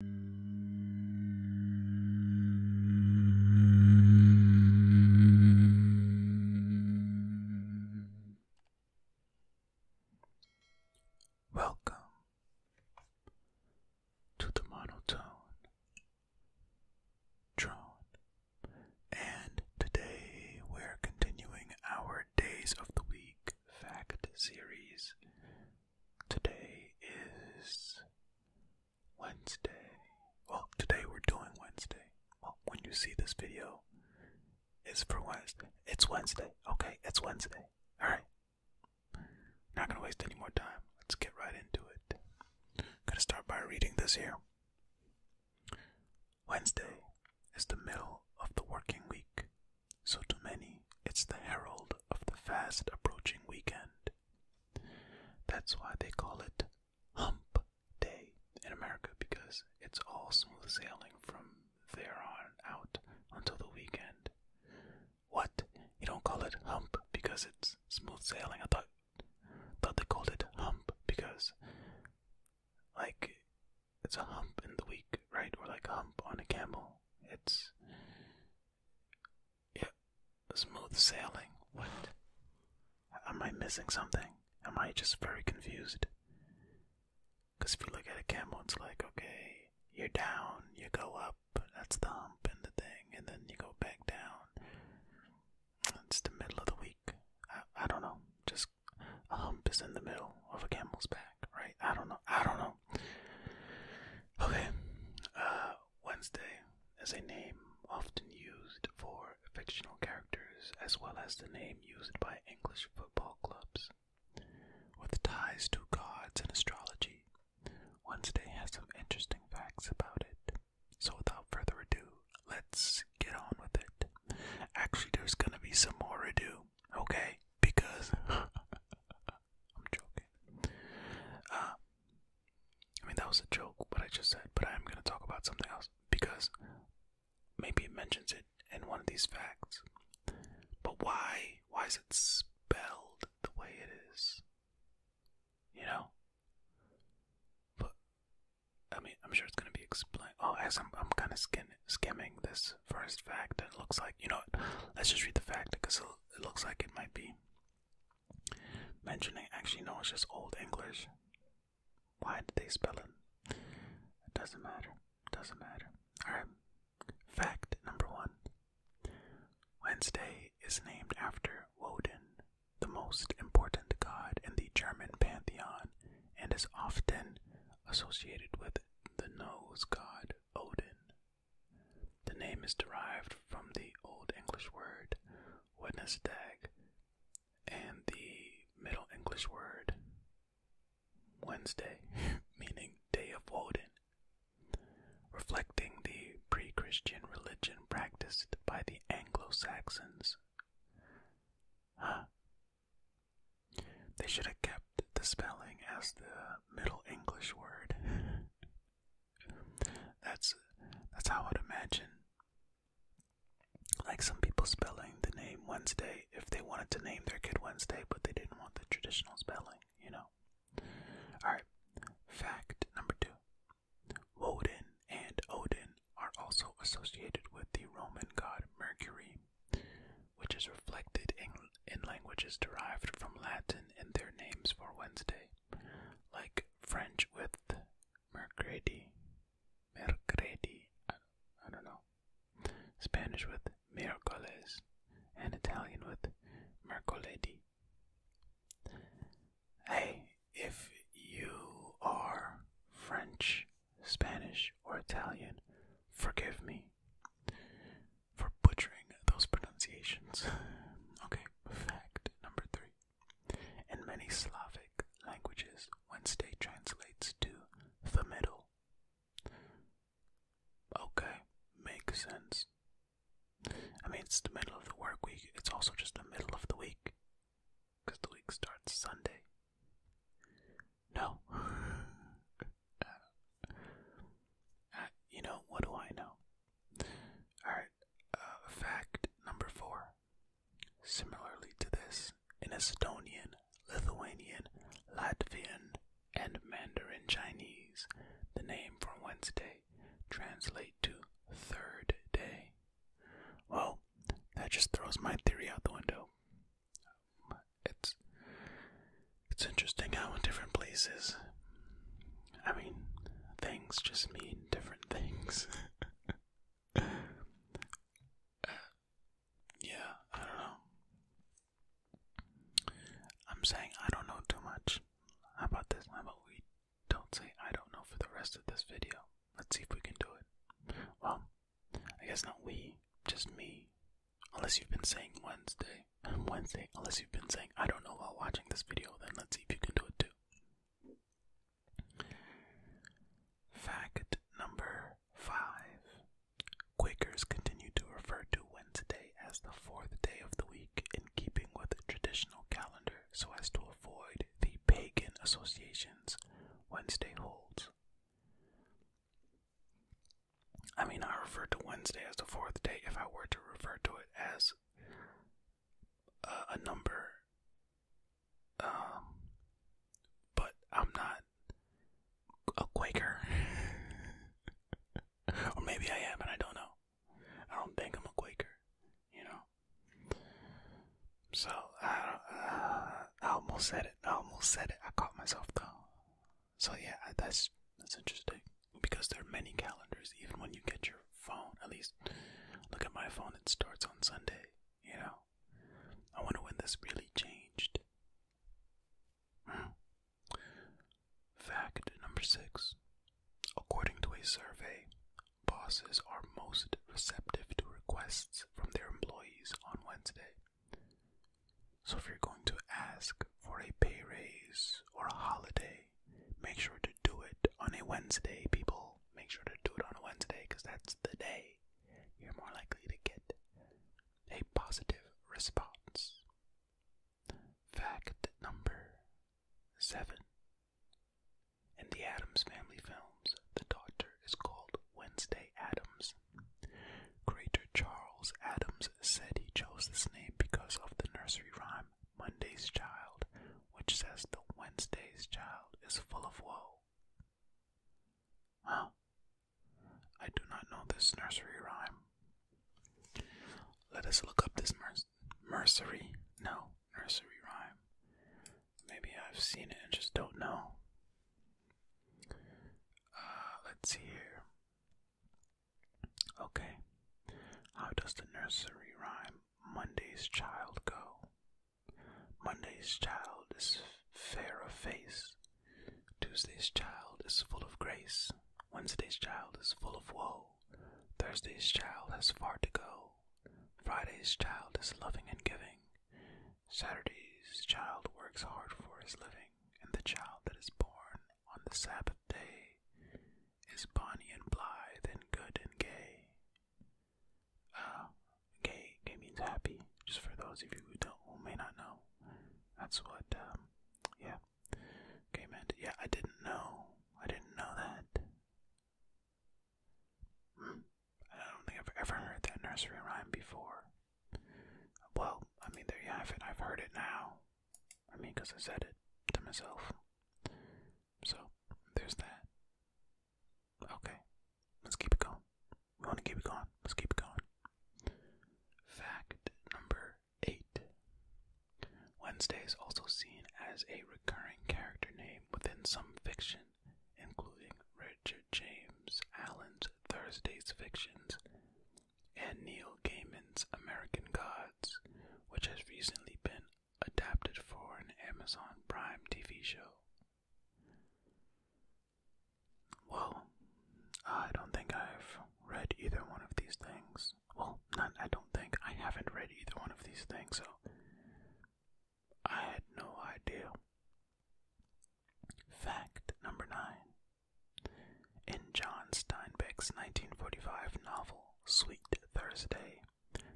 Welcome to the monotone drone, and today we're continuing our Days of the Week fact series Today is Wednesday. Well, today we're doing Wednesday. Well, when you see this video, it's for Wednesday. It's Wednesday. Okay, it's Wednesday. Alright. Not gonna waste any more time. Let's get right into it. Gonna start by reading this here. Wednesday is the middle of the working week, so to many, it's the herald of the fast approaching weekend. That's why they call it Hump Day in America because it's all smooth sailing from there on out until the weekend. What? You don't call it hump because it's smooth sailing? I thought thought they called it hump because like it's a hump in the week, right? Or like a hump on a camel. It's yeah, smooth sailing. What? Am I missing something? Am I just very confused? Because if you look at a camel, it's like, okay, you're down, you go up, that's the hump and the thing, and then you go back down. It's the middle of the week. I don't know. Just a hump is in the middle of a camel's back right? I don't know. I don't know. Okay. Uh, Wednesday is a name often used for fictional characters as well as the name used by English football clubs. With ties to gods and astrology, Wednesday has some interesting facts about it. So, without further ado, let's get on with it. Actually, there's gonna be some more ado, okay? because I'm joking. Uh, I mean, that was a joke, what I just said, but I am going to talk about something else because maybe it mentions it in one of these facts. But why? Why is it spelled the way it is? You know? But, I mean, I'm sure it's going to be explained. Oh, as I'm, I'm kind of skimming this first fact, and it looks like you know. What, let's just read the fact because it looks like it might be mentioning. Actually, no, it's just Old English. Why did they spell it? It doesn't matter. Doesn't matter. All right. Fact number one: Wednesday is named after Woden, the most important god in the German pantheon, and is often associated with the nose god Odin. The name is derived from the Old English word Wednesdag and the Middle English word Wednesday, meaning day of Woden, reflecting the pre Christian religion practiced by the Anglo Saxons. They should have kept the spelling as the Middle English word. that's that's how I'd imagine. Like some people spelling the name Wednesday if they wanted to name their kid Wednesday, but they didn't want the traditional spelling, you know. Alright, fact number two Woden and Odin are also associated with the Roman god Mercury which is reflected in, languages derived from Latin in their names for Wednesday, like French with mercredi, mercredi, I don't know, Spanish with miércoles, and Italian with mercoledì. Hey, if you are French, Spanish, or Italian, forgive me for butchering those pronunciations. Okay, fact number three. In many Slavic languages, Wednesday translates to the middle. Okay, makes sense. I mean, it's the middle of the work week, it's also just the middle of the week. Because the week starts Sunday. No. Uh, you know, what do I know? Alright, uh, fact number four. Similarly to this, in Estonian, Lithuanian, Latvian, and Mandarin Chinese, the name for Wednesday translate to third day. Well, that just throws my theory out the window it's it's interesting how in different places I mean things just mean different things. yeah, I don't know. I'm saying I don't know too much. about this? How we don't say I don't know for the rest of this video? Let's see if we can do it. Well, I guess not we, just me. Unless you've been saying Wednesday. And Wednesday, unless you've been saying I don't know while watching this video, then let's see if you can do it too. Fact number five Quakers continue to refer to Wednesday as the fourth day of the week in keeping with the traditional calendar so as to avoid the pagan associations Wednesday holds. I mean, I refer to Wednesday as the fourth day if I were to refer to it as uh, a, number. Um, but I'm not a Quaker. or maybe I am, and I don't know. I don't think I'm a Quaker, you know? So, I almost said it. I almost said it. I caught myself, though. So yeah, that's that's interesting because there are many calendars. Even when you get your phone, at least look at my phone. It starts on Sunday. You know, I wonder when this really changed. Hmm. Fact number six. According to a survey, bosses are most receptive to requests from their employees on Wednesday. So if you're going to ask for a pay raise or a holiday, make sure to do it on a Wednesday, people. Make sure to do it on a Wednesday because that's the day you're more likely to get a positive response. Fact number seven. In the Adams Family films, the daughter is called Wednesday Adams Greater Charles Adams said he chose this name because of the nursery rhyme Monday's Child, which says the Wednesday's child is full of woe. Huh? I do not know this nursery rhyme. Let us look up this mercery. No, nursery rhyme. Maybe I've seen it and just don't know. Uh, let's see here. Okay. How does the nursery rhyme Monday's child go? Monday's child is fair of face. Tuesday's child is full of grace. Wednesday's child is full of woe. Thursday's child has far to go. Friday's child is loving and giving. Saturday's child works hard for his living, and the child that is born on the Sabbath day is bonny and blithe and good and gay. Uh, gay, gay means happy, just for those of you who don't, who may not know. That's what, um, yeah, gay meant. Yeah, I didn't know. I didn't know that. Hmm. I don't think I've ever heard that nursery rhyme before. Well, I mean, there you have it. I've heard it now. I mean, because I said it to myself. So, there's that. Okay, let's keep it going. We want to keep it going. Let's keep going. Fact number eight Wednesday is also seen as a recurring character name within some fiction including Richard James Allen's Thursday's Fictions and Neil Gaiman's American Gods, which has recently been adapted for an Amazon Prime TV show. Well, I don't think I've read either one of these things. Well, not I don't think I haven't read either one of these things, I had no idea. Fact number nine. In John Steinbeck's 1945 novel Sweet Thursday,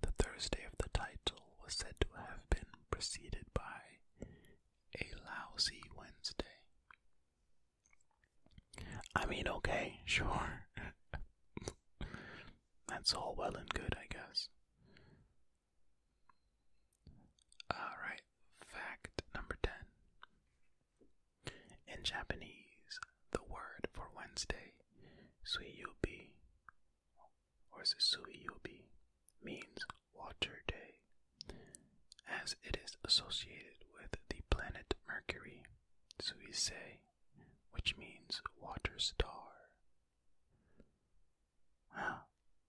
the Thursday of the title was said to have been preceded by a lousy Wednesday. I mean, okay, sure. That's all well and good, I guess. Alright, fact number 10. In Japanese, the word for Wednesday, suiyubi, or suiyubi, means water day, as it is associated with the planet Mercury, suisei, which means water star.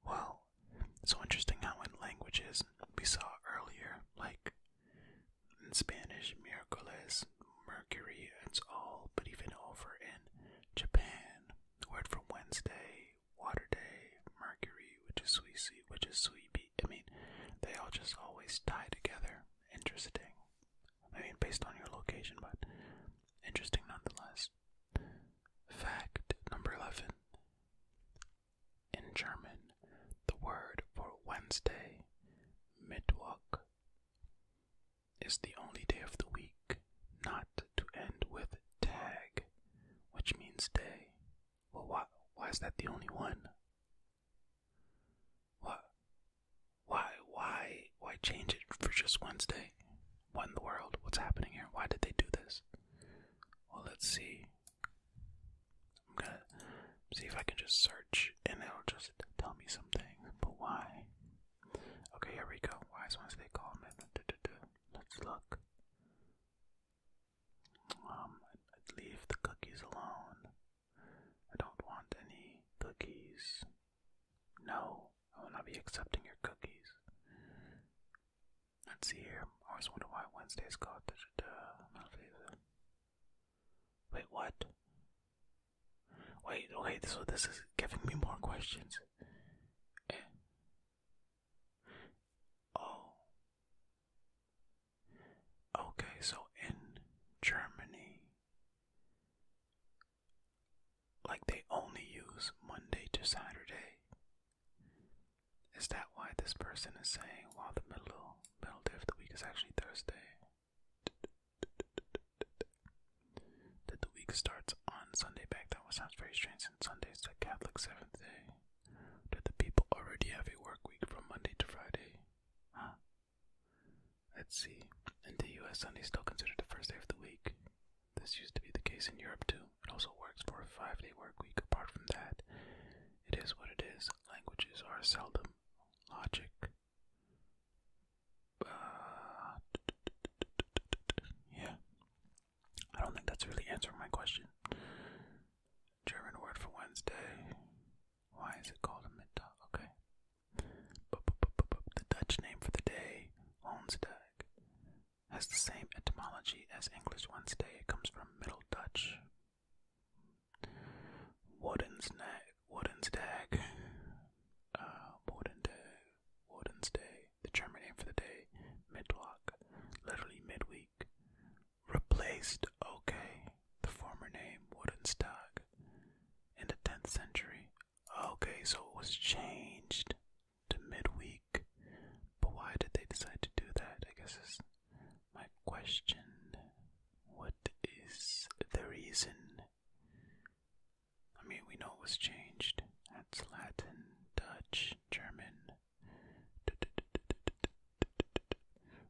Well, so interesting how in languages we saw earlier, like in Spanish, miércoles, mercury, it's all, but even over in Japan, the word for Wednesday, water day, mercury, which is suisi, which is suibi, I mean, they all just always tie together. Interesting. I mean, based on your location, but interesting nonetheless. Fact number 11. In German, the word for Wednesday, Mittwoch, is the only day of the week not to end with tag, which means day. why, why is that the only one? What? Why, why, why change it for just Wednesday? What in the world? What's happening here? Why did they do this? Well, let's see. I'm gonna see if I can just search and it'll just tell me something. But why? Okay, here we go. Why is Wednesday called? Let's look. Um, I'd leave the cookies alone. I don't want any cookies. No, I will not be accepting your cookies. Let's see here. I was wondering why Wednesday's called. Da, Wait, what? Wait, okay, so this is giving me more questions. Eh. Oh. Okay, so in Germany, like they only use Monday to Saturday. Is that why this person is saying while the middle middle day of the week is actually Thursday? That the week starts on Sunday back that was sounds very strange since Sunday is the Catholic seventh day. That the people already have a work week from Monday to Friday. Let's see. In the US, Sunday is still considered the first day of the week. This used to be the case in Europe too. It also works for a five day work week. Apart from that, it is what it is. Languages are seldom logic. Uh, yeah. I don't think that's really answering my question. German word for Wednesday. Why is it called a Mittag? Okay. the Dutch name for the day, Onsdag has the same etymology as English Wednesday. It comes from Middle Dutch. Warden's nag, uh, Warden's day, The German name for the day, midlock, literally midweek. Replaced, okay, the former name Warden's dag. In the 10th century, Okay, so it was changed to midweek, but why did they decide to do that? I guess is my question. What is the reason? I mean, we know it was changed. That's Latin, Dutch, German.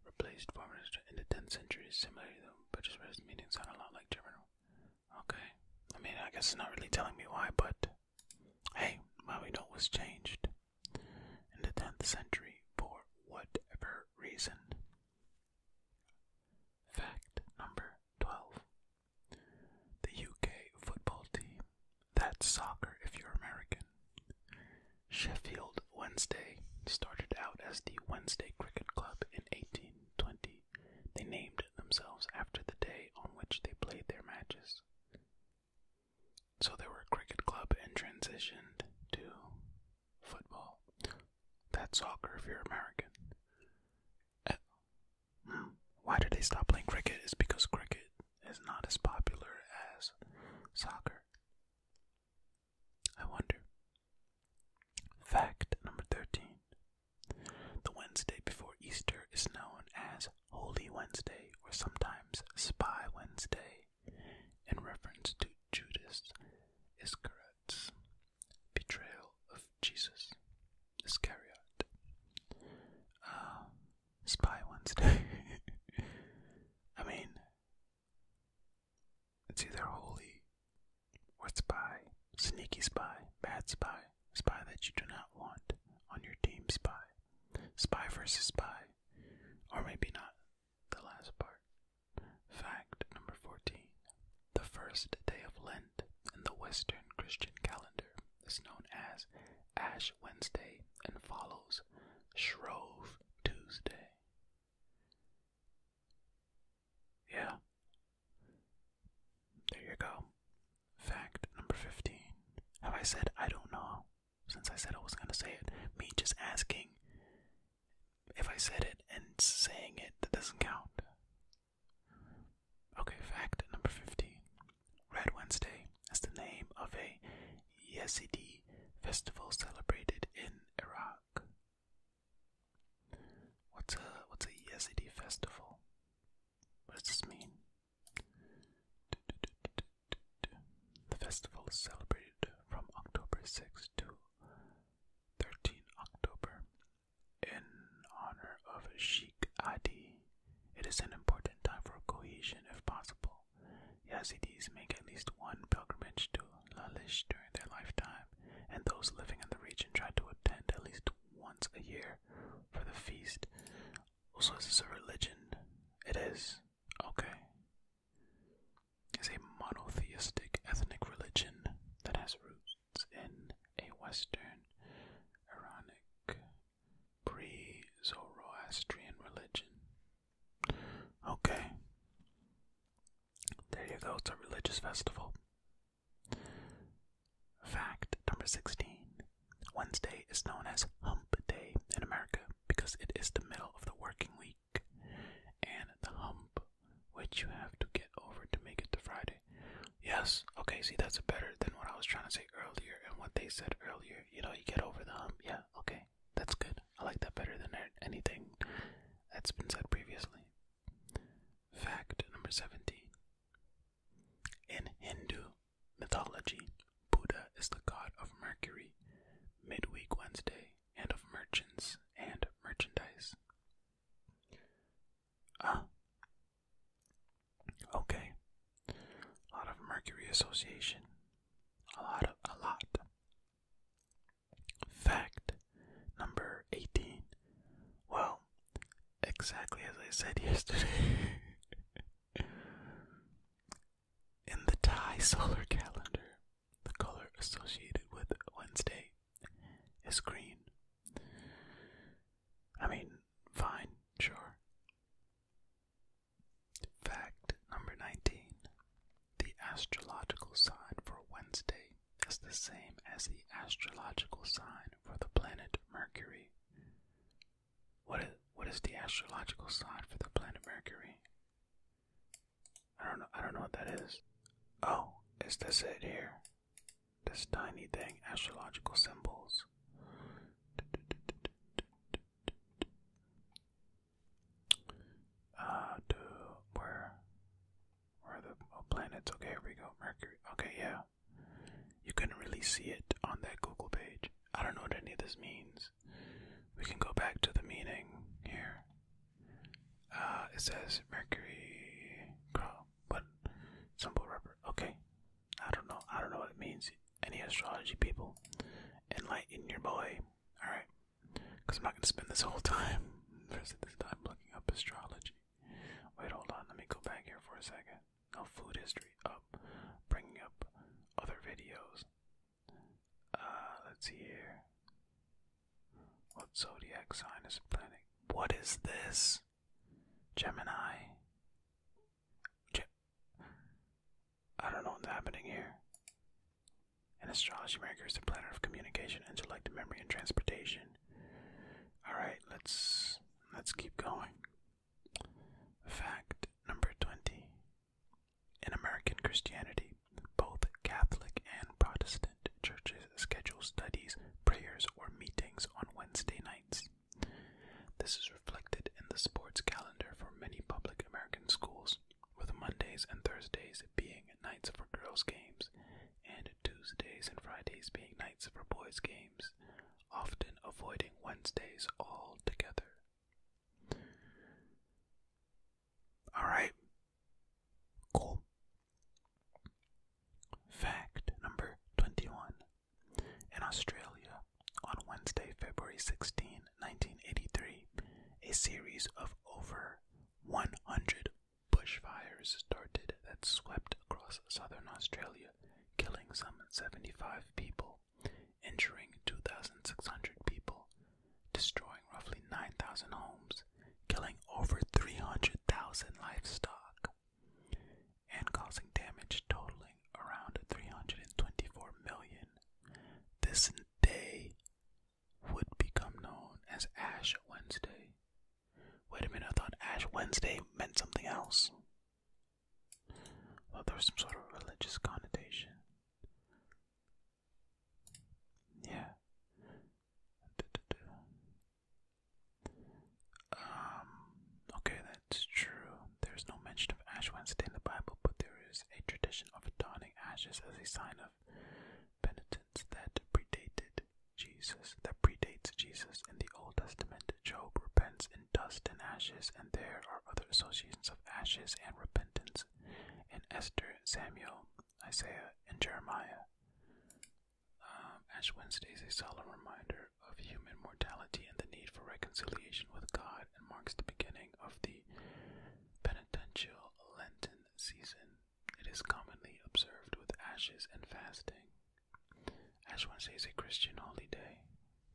Replaced forms in the 10th century, similarly but just meanings sound a lot like German. Okay. I mean, I guess it's not really telling me why, but hey, what we know was changed in the 10th century for whatever reason. Fact number 12. The UK football team, that's soccer if you're American, Sheffield Wednesday started out as the Wednesday Cricket Club in 1820. They named themselves after the day on which they played their matches. So they were a cricket club and transitioned to football. That's soccer if you're American. Uh, hmm. why did they stop playing cricket? Is because cricket is not as popular as soccer. I wonder. Fact number 13. The Wednesday before Easter is known as Holy Wednesday or sometimes Spy Wednesday in reference to Judas Iscariot's betrayal of Jesus. Iscariot. Um, Spy Wednesday. I mean, it's either Holy what spy, sneaky spy, bad spy, spy that you do not want on your team spy, spy versus spy, or maybe not the last part. Fact number 14. The first day of Lent in the Western Christian calendar is known as Ash Wednesday and follows Shrove Tuesday. Yeah. There you go. Fact number 15. Have I said I don't know? Since I said I was going to say it, me just asking if I said it and saying it, that doesn't count. Okay, fact number 15. Red Wednesday is the name of a Yazidi festival celebrated in Iraq. What's a what's a Yazidi festival? What does this mean? The festival is celebrated from October 6 to 13 October in honor of Sheikh Adi. It is an important time for cohesion if possible. Yazidis make at least one pilgrimage to Lalish during their lifetime, and those living in the region try to attend at least once a year for the feast. Also, is a religion? It is. Okay. It's a monotheistic ethnic religion that has roots in a Western Iranic pre Zoroastrian religion. Okay. There you go, it's a religious festival. Fact number 16 Wednesday is known as Hump Day in America because it is the middle of the working week, and the hump which you have to get over to make it to Friday. Yes, okay, see, that's better than what I was trying to say earlier and what they said earlier. You know, you get over the hump. Yeah, okay, that's good. I like that better than anything that's been said previously. Fact number 17. In Hindu mythology, Buddha is the god of Mercury, midweek Wednesday, and of merchants and merchandise. Ah. Okay. A lot of Mercury association. A lot a lot. Fact number 18. Well, exactly as I said yesterday. In the Thai solar calendar, the color associated with Wednesday is green. I mean, fine, sure. Fact number 19. The astrological sign for Wednesday is the same as the astrological sign for the planet Mercury. What is, what is the astrological sign for the planet Mercury? I don't know. I don't know what that is. Oh, it's this it here. This tiny thing, astrological symbols. Uh, to where? Where the uh, planets? Okay, here we go. Mercury. Okay, yeah. You couldn't really see it on that Google page. I don't know what any of this means. We can go back to the meaning here. Uh, it says Mercury. but simple rubber. Okay. I don't know. I don't know what it means. Any astrology people, enlighten your boy. All right. Because I'm not going to spend this whole time, this time, looking up astrology. Wait, hold on. Let me go back here for a second. No food history up. Oh, bringing up other videos. Uh, let's see here. What zodiac sign is a planet? What is this? Gemini. I don't know what's happening here. An astrology marker is the planet of communication, intellect, memory, and transportation. Alright, let's let's keep going. Fact number twenty. In American Christianity, both Catholic and Protestant churches schedule studies, prayers, or meetings on Wednesday nights. This is reflected in the sports calendar for many public American schools with Mondays and Thursdays being nights for girls' games, and Tuesdays and Fridays being nights for boys' games, often avoiding Wednesdays altogether. Alright, cool. Fact number 21. In Australia, on Wednesday, February 16, 1983, a series of over 100 bushfires started that swept across southern Australia, killing some 75 people, injuring 2,600 people, destroying roughly 9,000 homes, killing over 300,000 livestock, and causing damage totaling around 324 million. This day would become known as Ash Wednesday. Wait a minute, I thought Ash Wednesday meant something else. Well, there was some sort of religious connotation. Yeah. Um, okay, that's true. There's no mention of Ash Wednesday in the Bible, but there is a tradition of donning ashes as a sign of penitence that predated Jesus, that predates Jesus in the Old Testament. Job repents in dust and ashes, and there are other associations of ashes and repentance in Esther, Samuel, Isaiah, and Jeremiah. Um, Ash Wednesday is a solemn reminder of human mortality and the need for reconciliation with God, and marks the beginning of the penitential Lenten season, it is commonly observed with ashes and fasting. Ash Wednesday is a Christian holy day,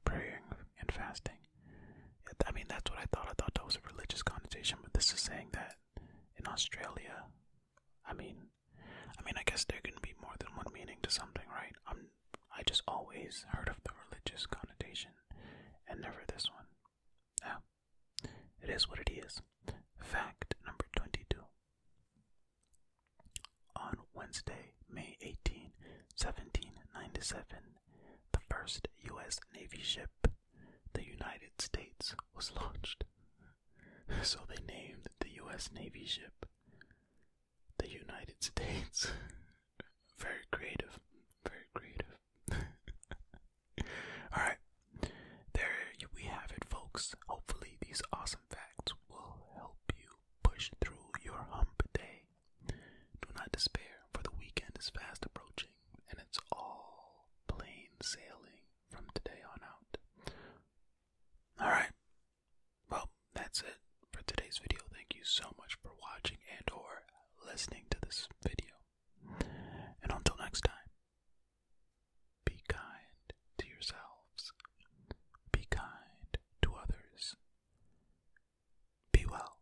praying and fasting. I mean, that's what I thought. I thought that was a religious connotation, but this is saying that in Australia, I mean, I mean, I guess there can be more than one meaning to something, right? I'm, I just always heard of the religious connotation, and never this one. Ah, it is what it is. Fact number 22. On Wednesday, May 18, 1797, the first U.S. Navy ship, the United States, was launched. So they named the U.S. Navy ship the United States. very creative, very creative. Alright, there we have it, folks. Hopefully, these awesome facts will help you push through your hump day. Do not despair, for the weekend is fast approaching and it's all plain sailing from today on out. Alright, well, that's it for today's video. Thank you so much for watching and or listening to this video. And until next time, be kind to yourselves, be kind to others, be well.